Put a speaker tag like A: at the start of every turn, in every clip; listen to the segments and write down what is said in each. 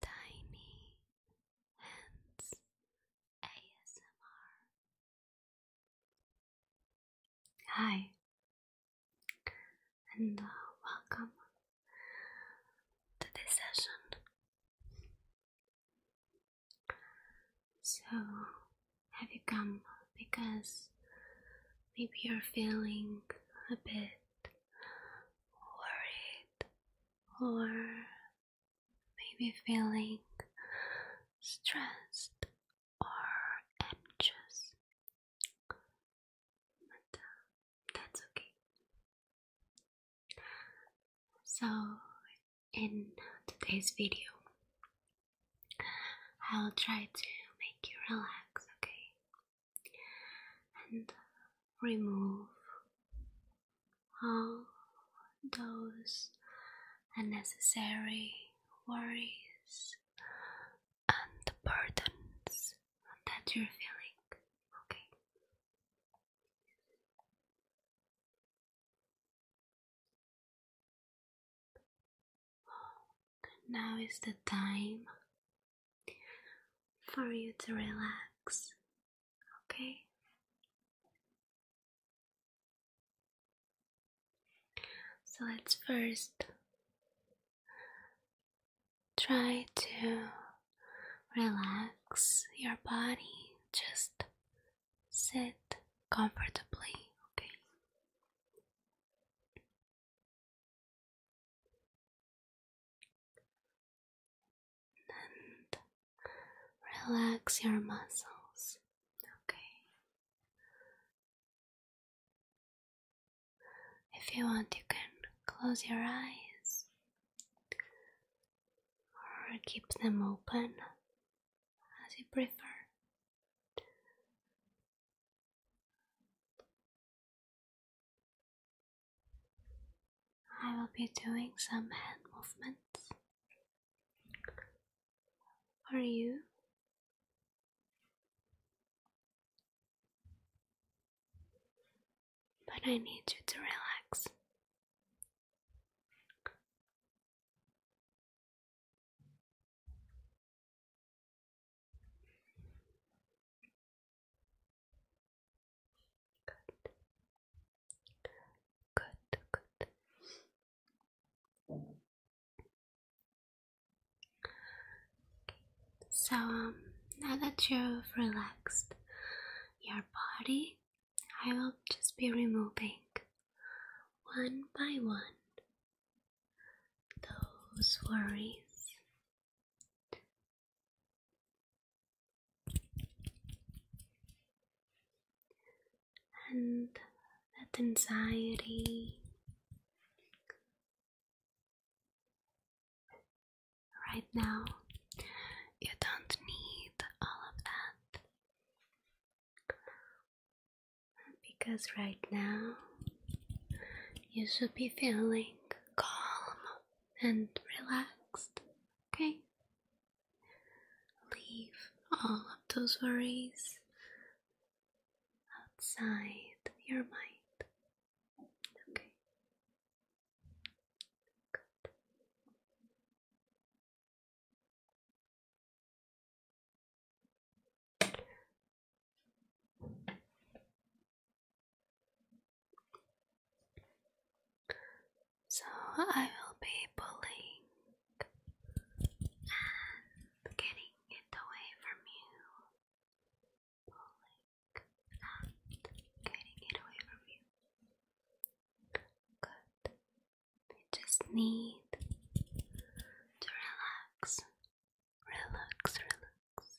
A: Tiny Hands ASMR. Hi, and uh, welcome to this session. So, have you come because maybe you're feeling a bit worried or maybe feeling stressed or anxious. But uh, that's okay. So, in today's video, I'll try to make you relax, okay? and remove all those unnecessary worries and burdens that you're feeling. Okay. Now is the time for you to relax, okay? So let's first try to relax your body, just sit comfortably, okay? and relax your muscles. Okay. If you want, you can close your eyes or keep them open as you prefer. I will be doing some hand movements Are you. But I need you to relax. Good. Good, good. So, um, now that you've relaxed your body, I will just be removing one by one those worries and that anxiety right now you don't need all of that because right now you should be feeling calm and relaxed, okay? Leave all of those worries outside your mind, okay? Good. So I will be pulling and getting it away from you. Pulling getting it away from you. Good. You just need to relax. Relax, relax.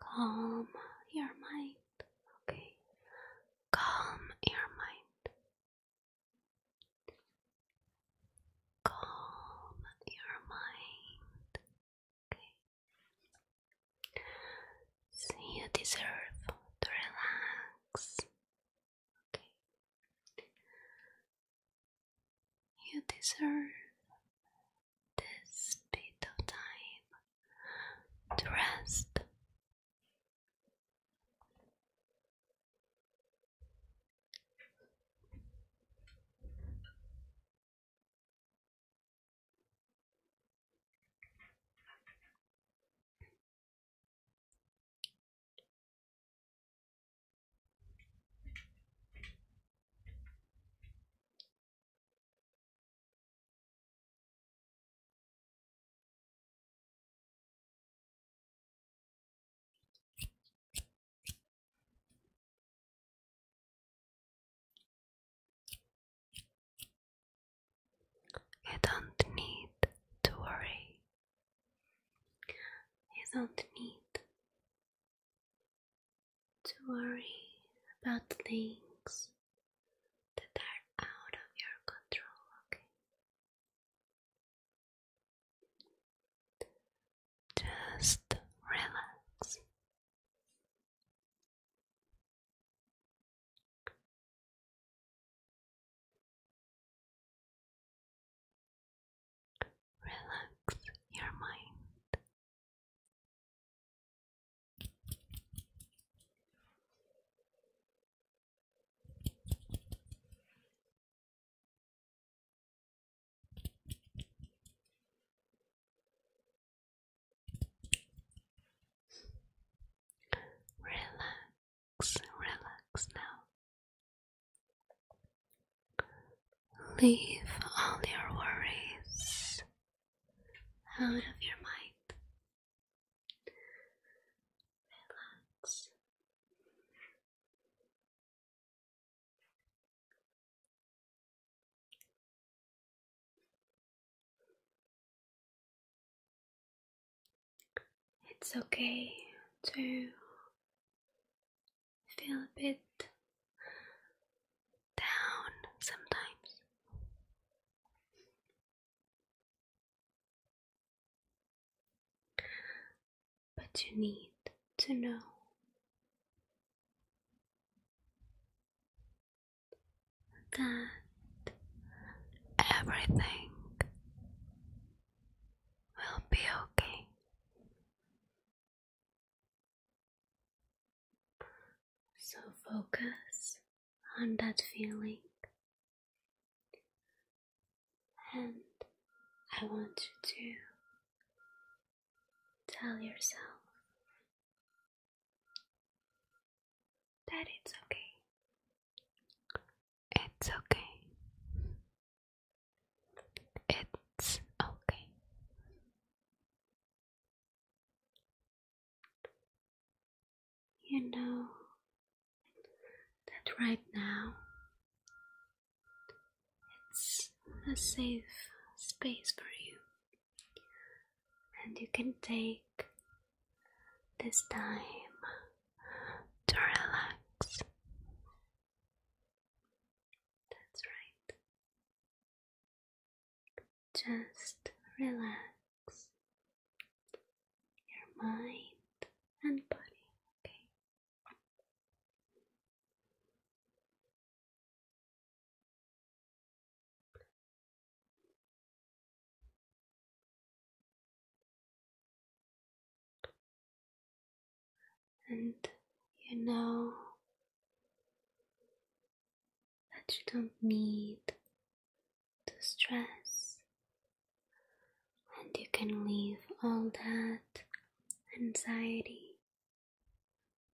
A: Calm your mind. Okay. Calm your mind. Calm your mind. Okay. you deserve to relax. Okay. You deserve this bit of time to rest. You don't need to worry. You don't need to worry about things that are out of your control, okay? Just relax. Relax your mind. Relax, relax now. Leave all your worries out of your mind. Relax. It's okay to feel a bit down sometimes. But you need to know that everything will be okay. So focus on that feeling, and I want you to tell yourself that it's okay. It's okay. It's okay. You know that right now it's a safe space for you, and you can take this time to relax. That's right. Just relax your mind and body, okay? and you know that you don't need to stress, and you can leave all that anxiety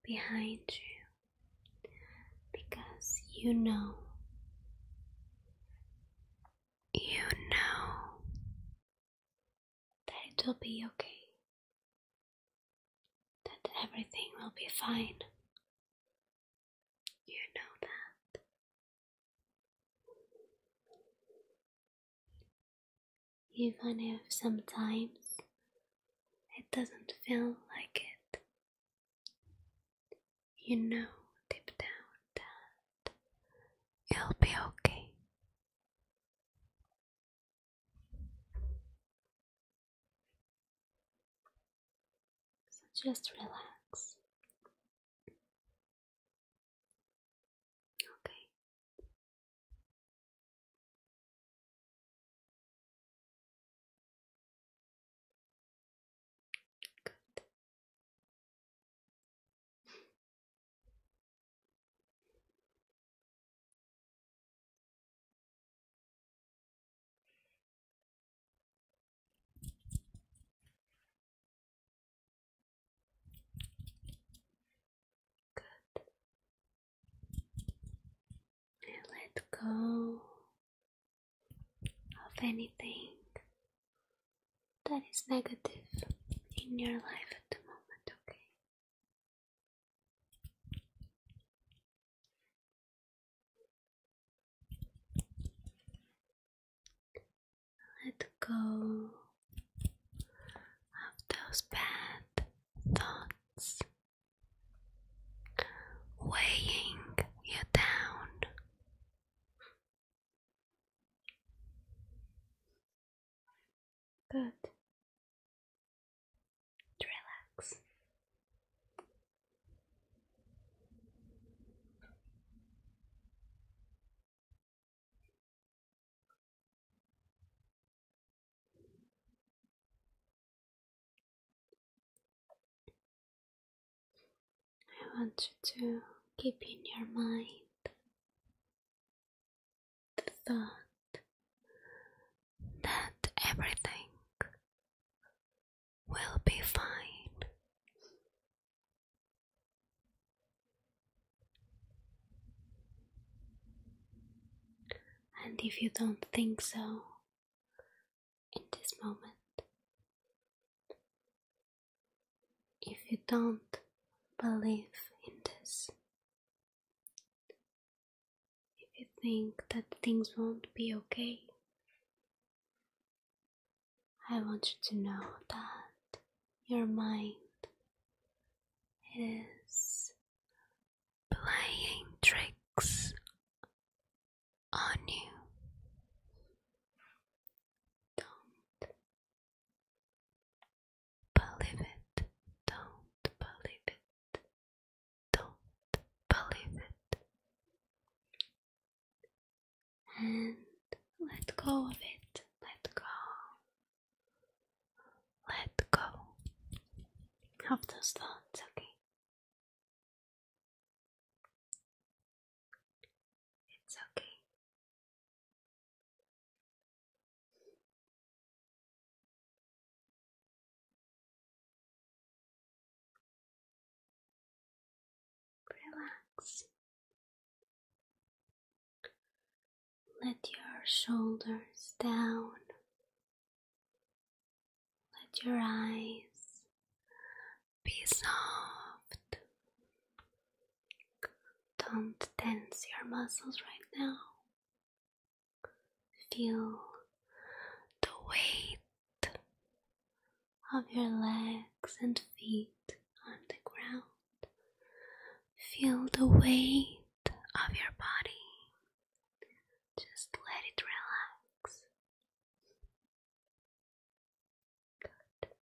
A: behind you because you know. You know that it will be okay, that everything will be fine. You know that. Even if sometimes it doesn't feel like it, you know deep down that it'll be okay. So just relax. Okay. Good. Good. let go of anything that is negative in your life at the moment, okay? Let go of those bad thoughts weighing you down. Good. Relax. I want you to keep in your mind the thought that everything will be fine. And if you don't think so in this moment, if you don't believe in this, if you think that things won't be okay, I want you to know that your mind is playing tricks on you believe it, don't believe it, don't believe it. And let go of it, let go, let go of those thoughts, okay? It's okay. Relax. Let your shoulders down. Let your eyes be soft. Don't tense your muscles right now. Feel the weight of your legs and feet on the ground. Feel the weight of your body. Just let it relax. Good.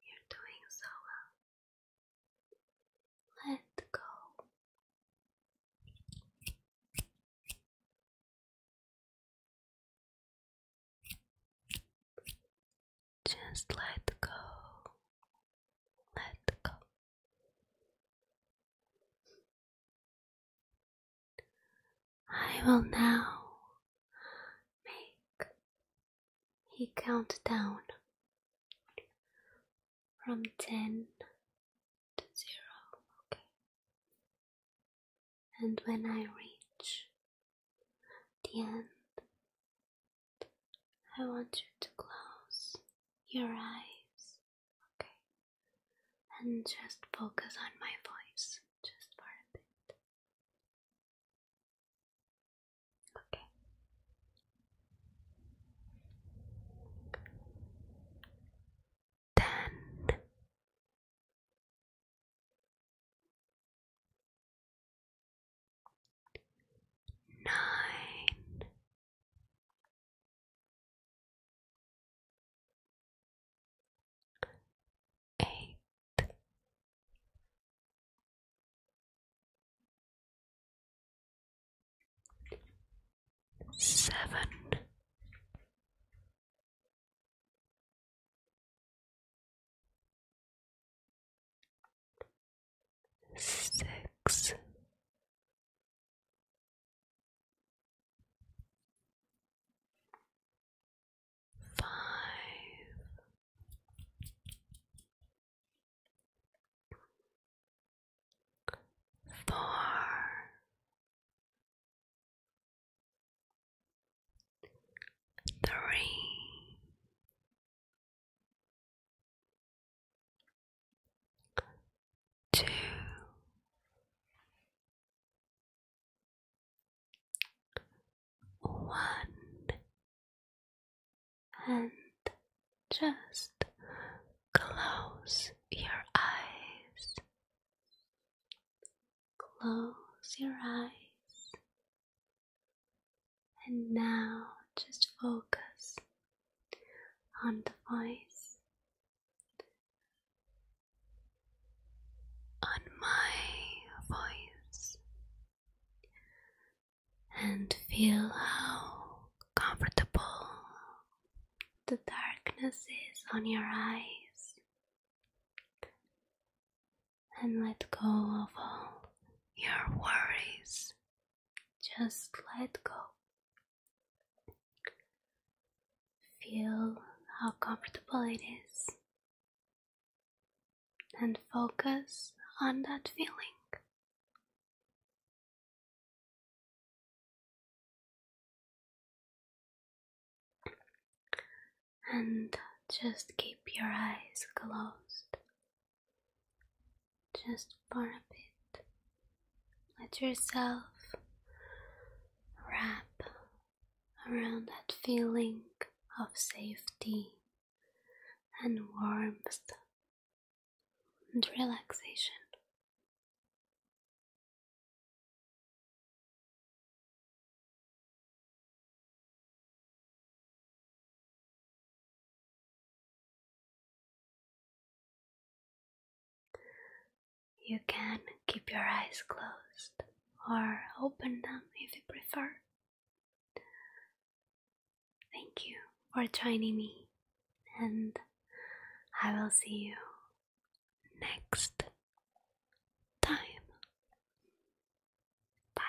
A: You're doing so well. Let go. Just let go. Let go. I will now make he counted down from 10 to 0. Okay. And when I reach the end, I want you to close your eyes. Okay. And just focus on my voice just for a bit. Okay. Eight seven six five Four. two, wand and just close your eyes. Close your eyes, and now just focus on the voice. On my voice, and feel how comfortable the darkness is on your eyes, and let go of all your worries. Just let go. Feel how comfortable it is and focus on that feeling. And just keep your eyes closed just for a bit. Let yourself wrap around that feeling of safety and warmth and relaxation. You can keep your eyes closed or open them if you prefer. Thank you for joining me, and I will see you next time. Bye.